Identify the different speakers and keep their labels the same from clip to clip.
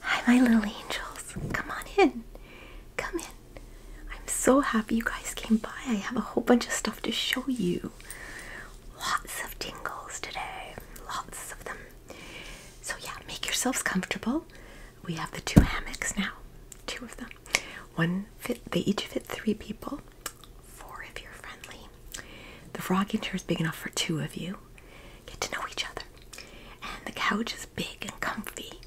Speaker 1: Hi, my little angels. Come on in. Come in. I'm so happy you guys came by. I have a whole bunch of stuff to show you. Lots of tingles today. Lots of them. So, yeah, make yourselves comfortable. We have the two hammocks now. Two of them. One fit, they each fit three people. Four if you're friendly. The frog inch is big enough for two of you get to know each other. And the couch is big and comfy,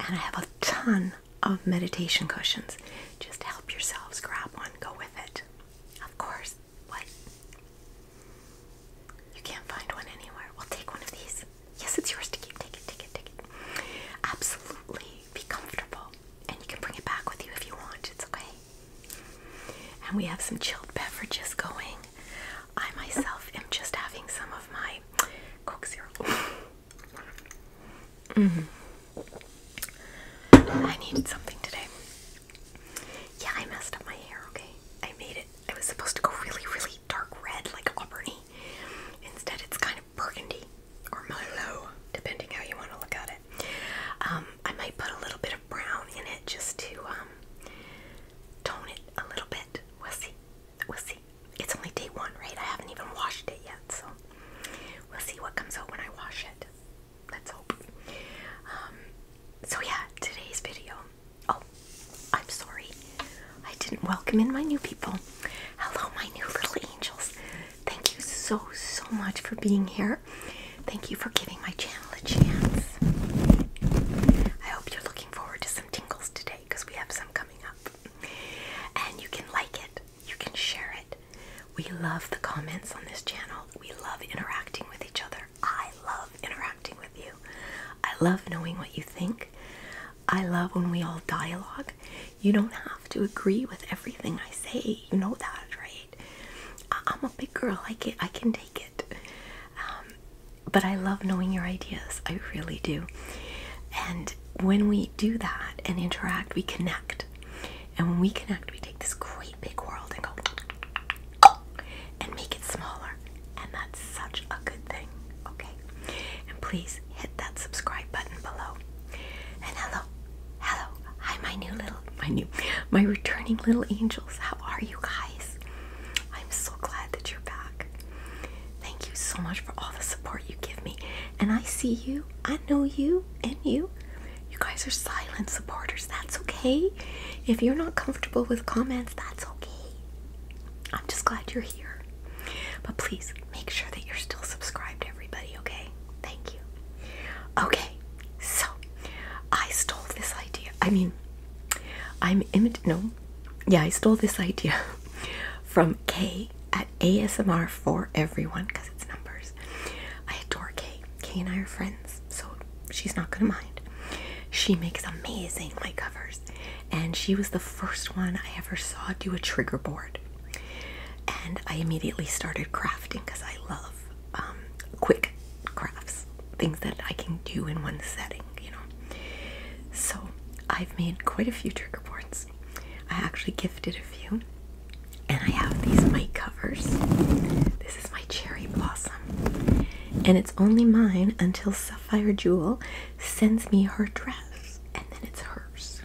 Speaker 1: and I have a ton of meditation cushions. Just help yourselves grab one, go with it. Of course, what? You can't find one anywhere. We'll take one of these. Yes, it's yours to keep. Take it, take it, take it. Absolutely be comfortable. And you can bring it back with you if you want. It's okay. And we have some chilled beverages going. I myself am just having some of my Coke Zero. Mm-hmm. I needed something today. Yeah, I messed up my hair, okay? I made it. I was supposed to go really, really dark red, like auburny. Instead, it's kind of burgundy or mellow, depending how you want to look at it. Um, I might put a little bit of brown in it just to um, tone it a little bit. We'll see. We'll see. It's only day one, right? I haven't even washed it yet, so we'll see what comes out when I wash it. Let's hope. Um, so yeah, today's video. Oh, I'm sorry. I didn't welcome in my new people. Hello, my new little angels. Thank you so, so much for being here. Thank you for giving my channel a chance. I hope you're looking forward to some tingles today because we have some coming up. And you can like it, you can share it. We love the comments on this channel, we love interacting with each other. I love interacting with you. I love knowing what you think. I love when we all dialogue. You don't have to agree with everything I say. You know that, right? I I'm a big girl. I can I can take it. Um, but I love knowing your ideas. I really do. And when we do that and interact, we connect. And when we connect, we take this great big world and go and make it smaller. And that's such a good thing. Okay? And please hit that subscribe button below. And hello, hello. Hi, my new little my new, my returning little angels. How are you guys? I'm so glad that you're back. Thank you so much for all the support you give me. And I see you, I know you, and you. You guys are silent supporters. That's okay. If you're not comfortable with comments, that's okay. I'm just glad you're here. But please make sure that you're still subscribed, everybody, okay? Thank you. Okay, so, I stole this idea. I mean, I'm imit. No, yeah, I stole this idea from Kay at ASMR for everyone because it's numbers. I adore Kay. Kay and I are friends, so she's not gonna mind. She makes amazing light covers, and she was the first one I ever saw do a trigger board. And I immediately started crafting because I love um, quick crafts, things that I can do in one setting, you know. So I've made quite a few trigger boards. I actually gifted a few, and I have these mic covers. This is my cherry blossom, and it's only mine until Sapphire Jewel sends me her dress, and then it's hers.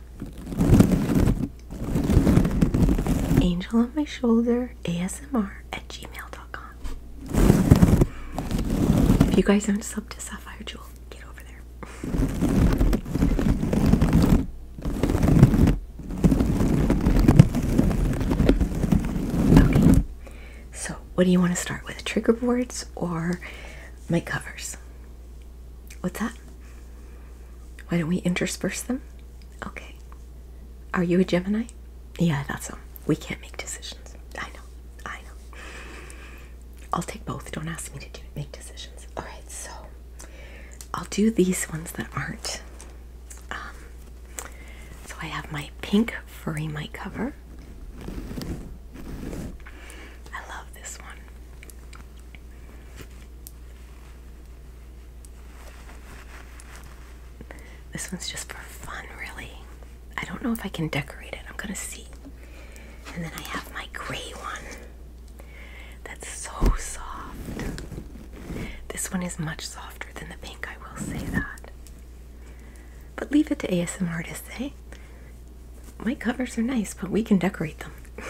Speaker 1: Angel on my shoulder, ASMR at gmail.com. If you guys aren't sub to Sapphire Jewel, get over there. Okay, so what do you want to start with? Trigger boards or my covers? What's that? Why don't we intersperse them? Okay. Are you a Gemini? Yeah, I thought um, so. We can't make decisions. I know. I know. I'll take both. Don't ask me to do, make decisions. All right, so I'll do these ones that aren't. Um, so I have my pink furry mic cover. I love this one. This one's just for fun, really. I don't know if I can decorate it. I'm gonna see. And then I have my gray one that's so soft. This one is much softer than the pink, I will say that. But leave it to ASMR artists, eh? My covers are nice, but we can decorate them.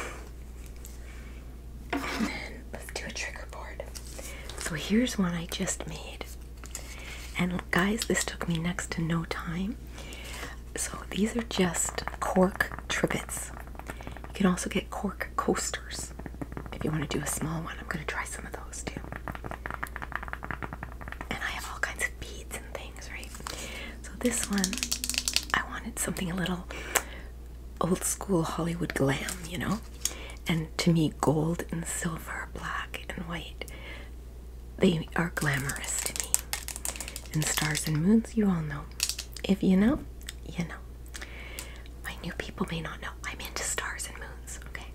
Speaker 1: let's do a trigger board. So here's one I just made. And guys, this took me next to no time. So these are just cork trivets. You can also get cork coasters if you want to do a small one. I'm going to try some of those too. And I have all kinds of beads and things, right? So this one, I wanted something a little old school Hollywood glam, you know? And to me, gold and silver, black and white, they are glamorous to me. And stars and moons, you all know. If you know, you know. My new people may not know. I'm into stars and moons, okay?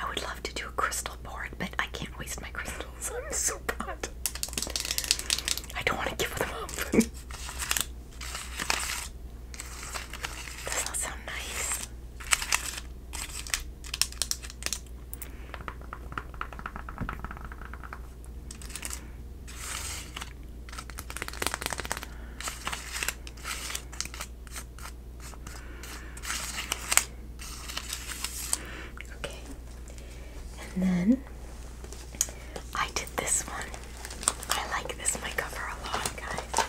Speaker 1: I would love to do a crystal board, but I can't waste my crystals. I'm so bad. I don't want to give them up. Does not sound nice? Okay, and then I did this one. I like this my cover a lot, guys.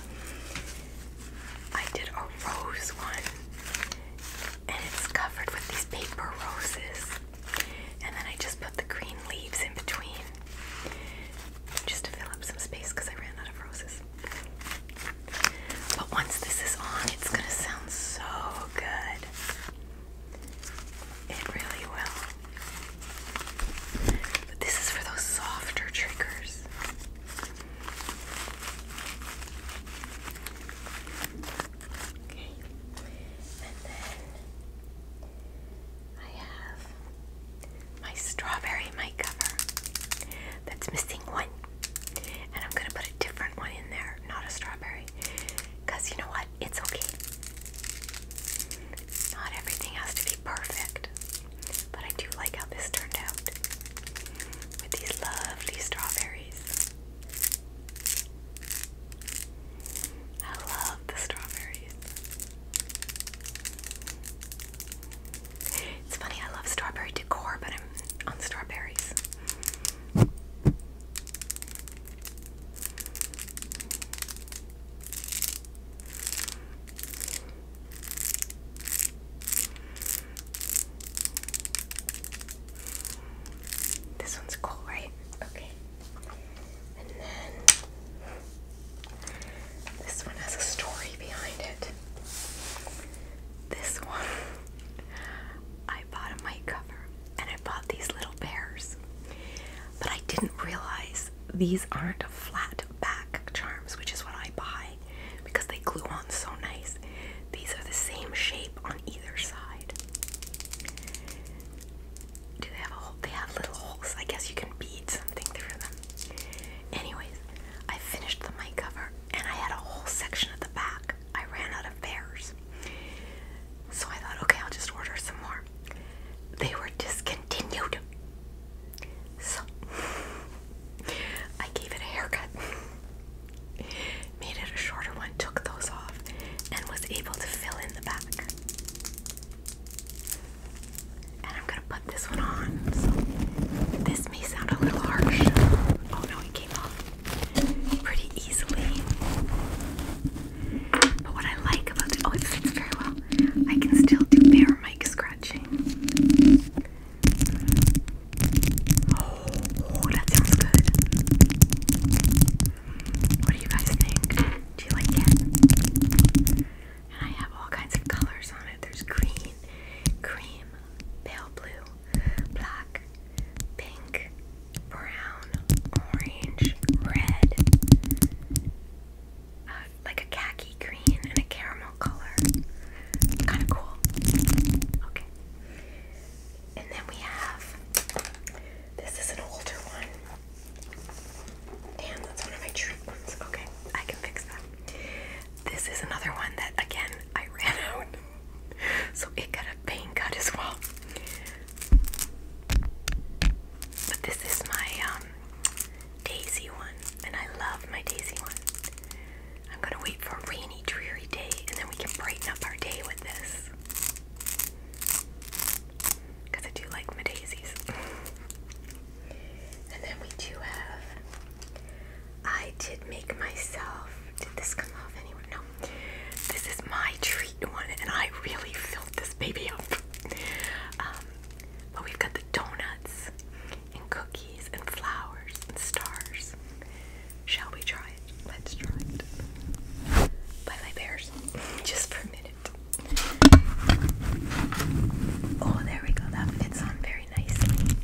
Speaker 1: I did a rose one, and it's covered with these paper roses. And then I just put the green leaves in between, just to fill up some space because I ran out of roses. But once this is on, it's gonna sound so good. It really will. But this is for those softer triggers. Okay. And then I have my strawberry mic cover that's missing one. And I'm going to put a different one in there, not a strawberry. you know what? it's okay. Not everything has to be perfect, but I do like how this turned out with these lovely strawberries. I love the strawberries. It's funny, I love strawberry decor, but I'm on strawberries. This one's cool, right? Okay. And then this one has a story behind it. This one, I bought a mic cover and I bought these little bears. But I didn't realize these aren't flat back charms, which is what I buy because they glue on so nice. These are the same shape on either side. Do they have a They have little holes. I guess you can bead something through them. Anyways, I finished the mic cover and I had a whole section at the back. I ran out of bears. So I thought, okay, I'll just order some more. They were discontinued. So I gave it a haircut, made it a shorter one, took those off, and was able to fill in the back. And I'm gonna put this one on. So this may sound a little harsh. Oh no, it came off pretty easily. But what I like about the oh, it fits very well. I can still do bare mic scratching. oh, that sounds good. What do you guys think? Do you like it? And I have all kinds of colors on it. There's green, cream, pale blue, black, pink, brown, orange, red, uh, like a khaki green, and a caramel color. Kind of cool. Okay. And then we have this is an older one. Damn, that's one of my treat ones. Okay, I can fix that. This is another one that, again, I ran out. So it got a vein cut as well. But this is my um daisy one, and I love my daisy one. I'm gonna wait for a rainy, dreary day, and then we can brighten up our day with this. Because I do like my daisies. and then we do have. I did make myself. Did this come off anywhere? No, this is my treat one, and I really filled this baby up. Um, but we've got the donuts and cookies and flowers and stars. Shall we try it? Let's try it. Bye bye bears. Just for a minute. Oh, there we go. That fits on very nicely.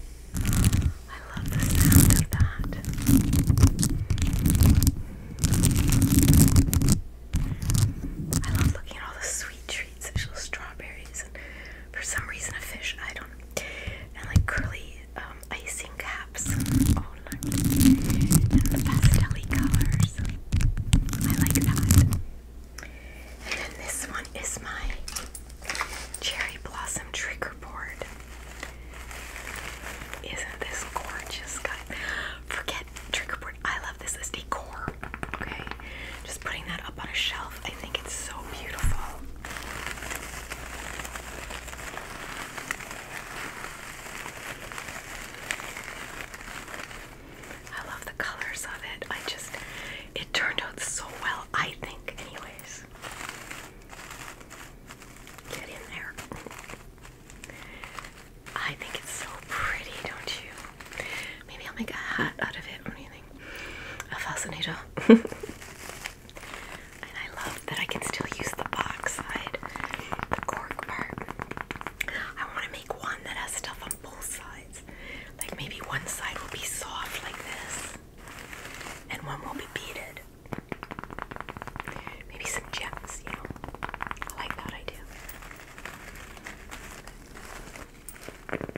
Speaker 1: I love the sound of that. I love looking at all the sweet treats, such as strawberries and for some reason a fish, I don't know. And like curly um, icing caps. Oh lovely. And pastel colors. I like that. And then this one is my cherry blossom trigger board. Isn't this gorgeous, guys? Forget trigger I love this as decor. Okay, just putting that up on a shelf. I think it's so beautiful. I love the colors of it. I just, it turned out so well, I think, anyways. Get in there. I think it's so pretty, don't you? Maybe I'll make a hat out of it or anything. A fascinator. and I love that I can still use the box side, the cork part. I want to make one that has stuff on both sides. Like maybe one side will be soft like this, and one will be beaded. Maybe some gems, you know. I like that idea. Isn't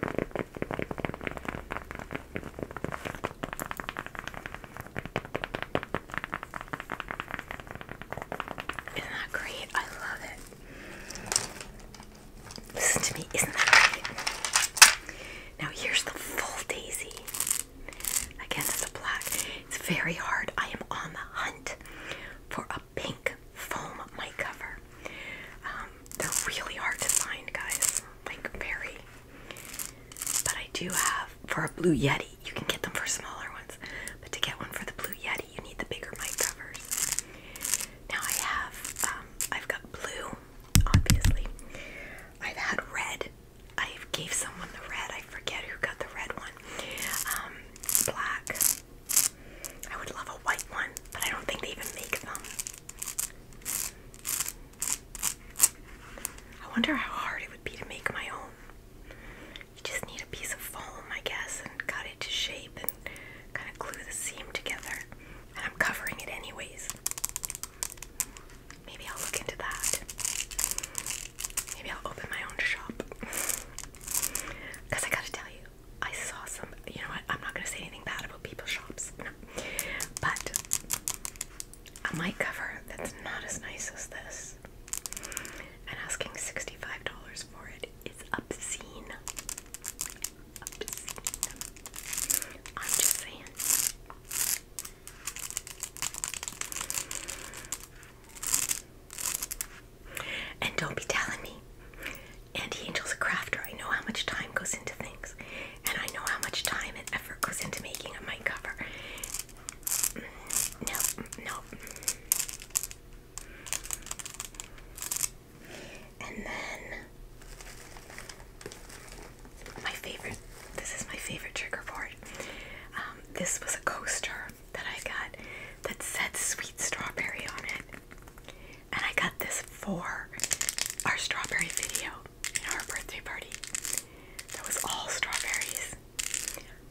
Speaker 1: that great? I love it. Listen to me, isn't that great? Now here's the full daisy. Again, that's a black. It's very hard. I am on the hunt for a pink foam mic cover. Um, they're really hard to find, guys. Like, very. But I do have, for a Blue Yeti, you can get them for smaller ones. But to get one for the Blue Yeti, you need the bigger mic covers. Now I have, um, I've got blue, obviously. I've had red I gave someone the red. I forget who got the red one. Um, black. I would love a white one, but I don't think they even make them. I wonder how hard it would be to make my own. You just need a piece of foam, I guess, and cut it to shape and kind of glue the seam together. And I'm covering it anyways. Maybe I'll look into that. Maybe I'll open my own shop. Because I gotta tell you, I saw some. You know what? I'm not gonna say anything bad about people's shops. But a mic cover that's not as nice as this. And asking $65 for it is obscene. Obscene. I'm just saying. And don't be telling me. Andy Angel's a crafter. I know how much time goes into things. And I know how much time and effort goes into making a mic cover. No, no. And then my favorite, this is my favorite trigger board. Um, this was a coaster that I got that said sweet strawberry on it. And I got this for our strawberry video in our birthday party. That was all strawberries.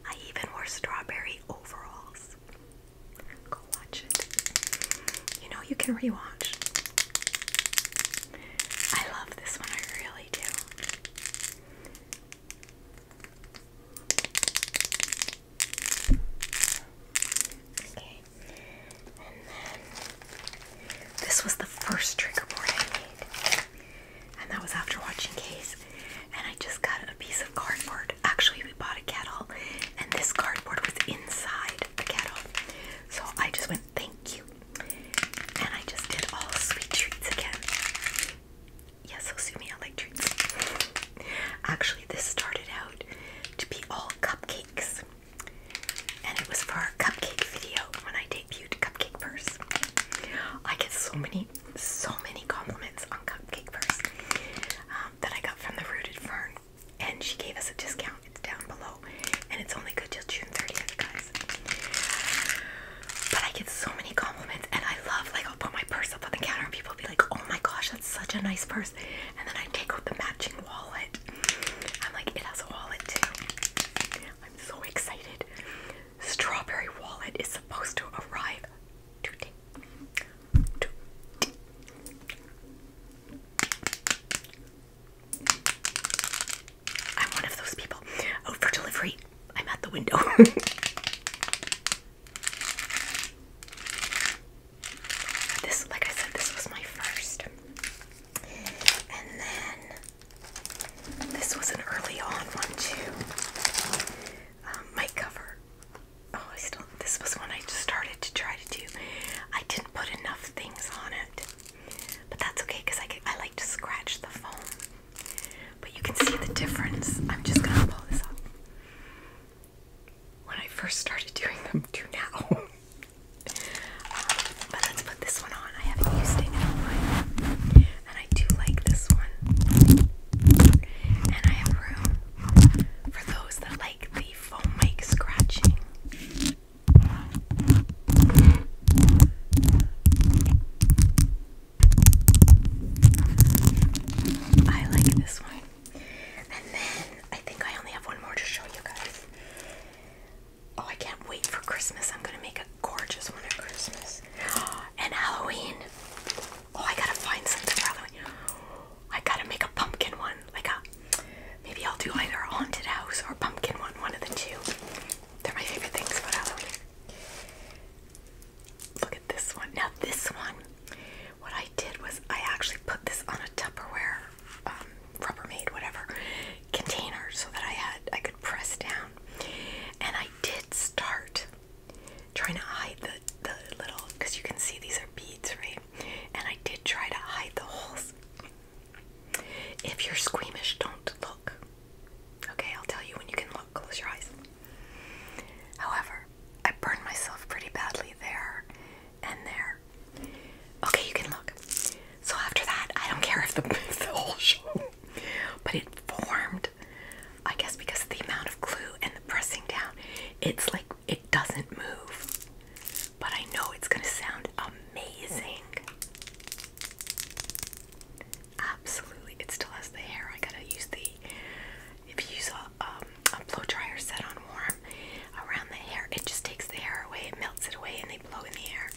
Speaker 1: I even wore strawberry overalls. Go watch it. You know you can rewatch. I love this one, I really do. Okay. And then this was the first trigger board I made. And that was after watching Case. And I just got a piece of cardboard. Actually, we bought a kettle, and this cardboard was inside the kettle. So I just went Thank you. And I just did all sweet treats again. Yes, Osumi, I like treats. Actually, this started out to be all cupcakes. And it was for our cupcake video when I debuted Cupcake Purse. I get so many, so many compliments on Cupcake Purse um, that I got from the Rooted Fern. And she gave us a discount. It's down below. And it's only good till June 30th, guys. But I get so many compliments, and I love like I'll put my purse up on the counter, and people be like, "Oh my gosh, that's such a nice purse!" And then I take out the matching wallet. I'm like, it has a wallet too. I'm so excited. Strawberry wallet is supposed to arrive today. I'm one of those people. Out oh, for delivery. I'm at the window. this, like I said, this was my first. And then this was an early on one too. my um, cover. Oh, I still. This was one I just started to try to do. I didn't put enough things on it. But that's okay because I, like to scratch the foam. But you can see the difference. I'm just going to pull this up. When I first started doing them to now. Um, but let's put this one on. I haven't used it in a while. And I do like this one. And I have room for those that like the foam mic scratching. I like this one. And then I think I only have one more to show you guys. Oh, I can't wait for Christmas. I'm going to make a gorgeous one at Christmas. And Halloween. Oh, I got to find something for Halloween. I got to make a pumpkin one. Like a maybe I'll do either a haunted house or a pumpkin one, one of the two. They're my favorite things about Halloween. Look at this one. Now this one, what I did was I actually put this on a Tupperware, um, Rubbermaid, whatever, container so that I had I could press down. And I did start trying to hide the the little because you can see these are beads, right? And I did try to hide the holes if you're squeamish, don't look. Okay, I'll tell you when you can look. Close your eyes. However, I burned myself pretty badly there and there. Okay, you can look. So after that, I don't care if the, if the whole show, but it formed. I guess because of the amount of glue and the pressing down, it's like it doesn't move. But I know it's gonna sound amazing. Absolutely, it still has the hair. I gotta use the if you use um, a blow dryer set on warm around the hair, it just takes the hair away, it melts it away, and they blow in the air.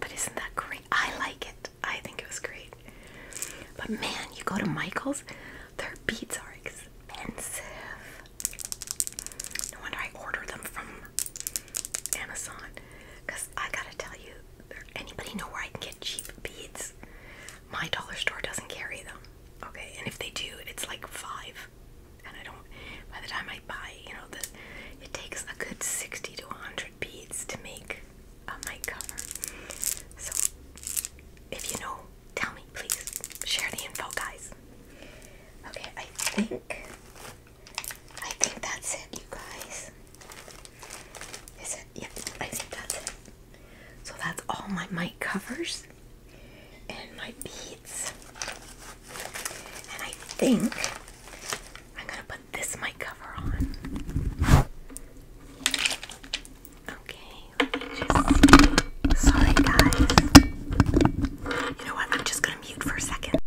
Speaker 1: But isn't that great? I like it. I think it was great. But man, you go to Michael's, their beads are expensive. No wonder I order them from Amazon. Cause I gotta tell you, does anybody know where I can get cheap beads? My dollar store doesn't carry them. Okay, and if they do, it's like five. And I don't. By the time I buy, you know, the it takes a good sixty to hundred beads to make a mic cover. So, if you know, tell me, please share the info, guys. Okay, I think I think that's it, you guys. Is it? Yep, I think that's it. So that's all my mic covers and my beads. And I think I'm gonna put this mic cover on. Okay, Sorry, guys. You know what? I'm just mute for a second.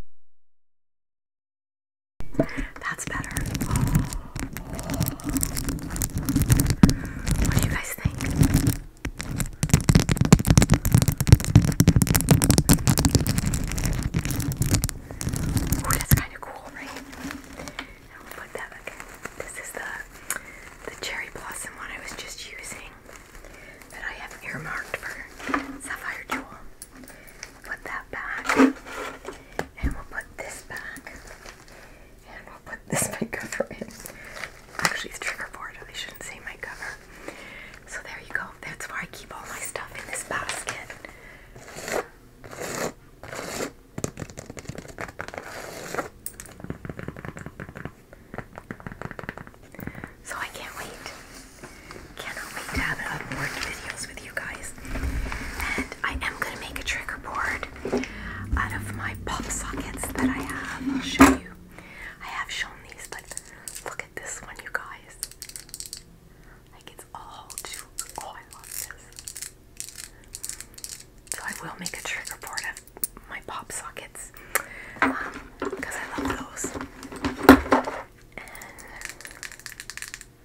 Speaker 1: That's better. What do you guys think? Ooh, that's kind of cool, right? Now we put that This is the the cherry blossom one I was just using that I have earmarked for Sapphire Jewel. Put that back, and we'll put this back, and we'll put this mic Actually, it's trigger board, I shouldn't say my cover. So there you go. That's where I keep all my stuff in this basket. So I can't wait. Cannot wait to have unboard videos with you guys. And I am going to make a trigger board out of my pop sockets that I have. I'll show you. I have shown these, but look at this one, you guys. Like it's all too. Oh, I love this. So I will make a trigger board out of my pop sockets because um, I love those.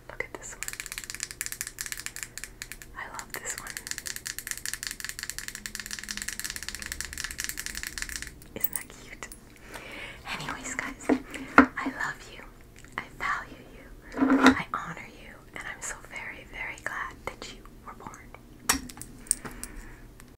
Speaker 1: look at this one. I love this one. Isn't that cute? Anyways, guys, I love you. I value you. I honor you. And I'm so very, very glad that you were born.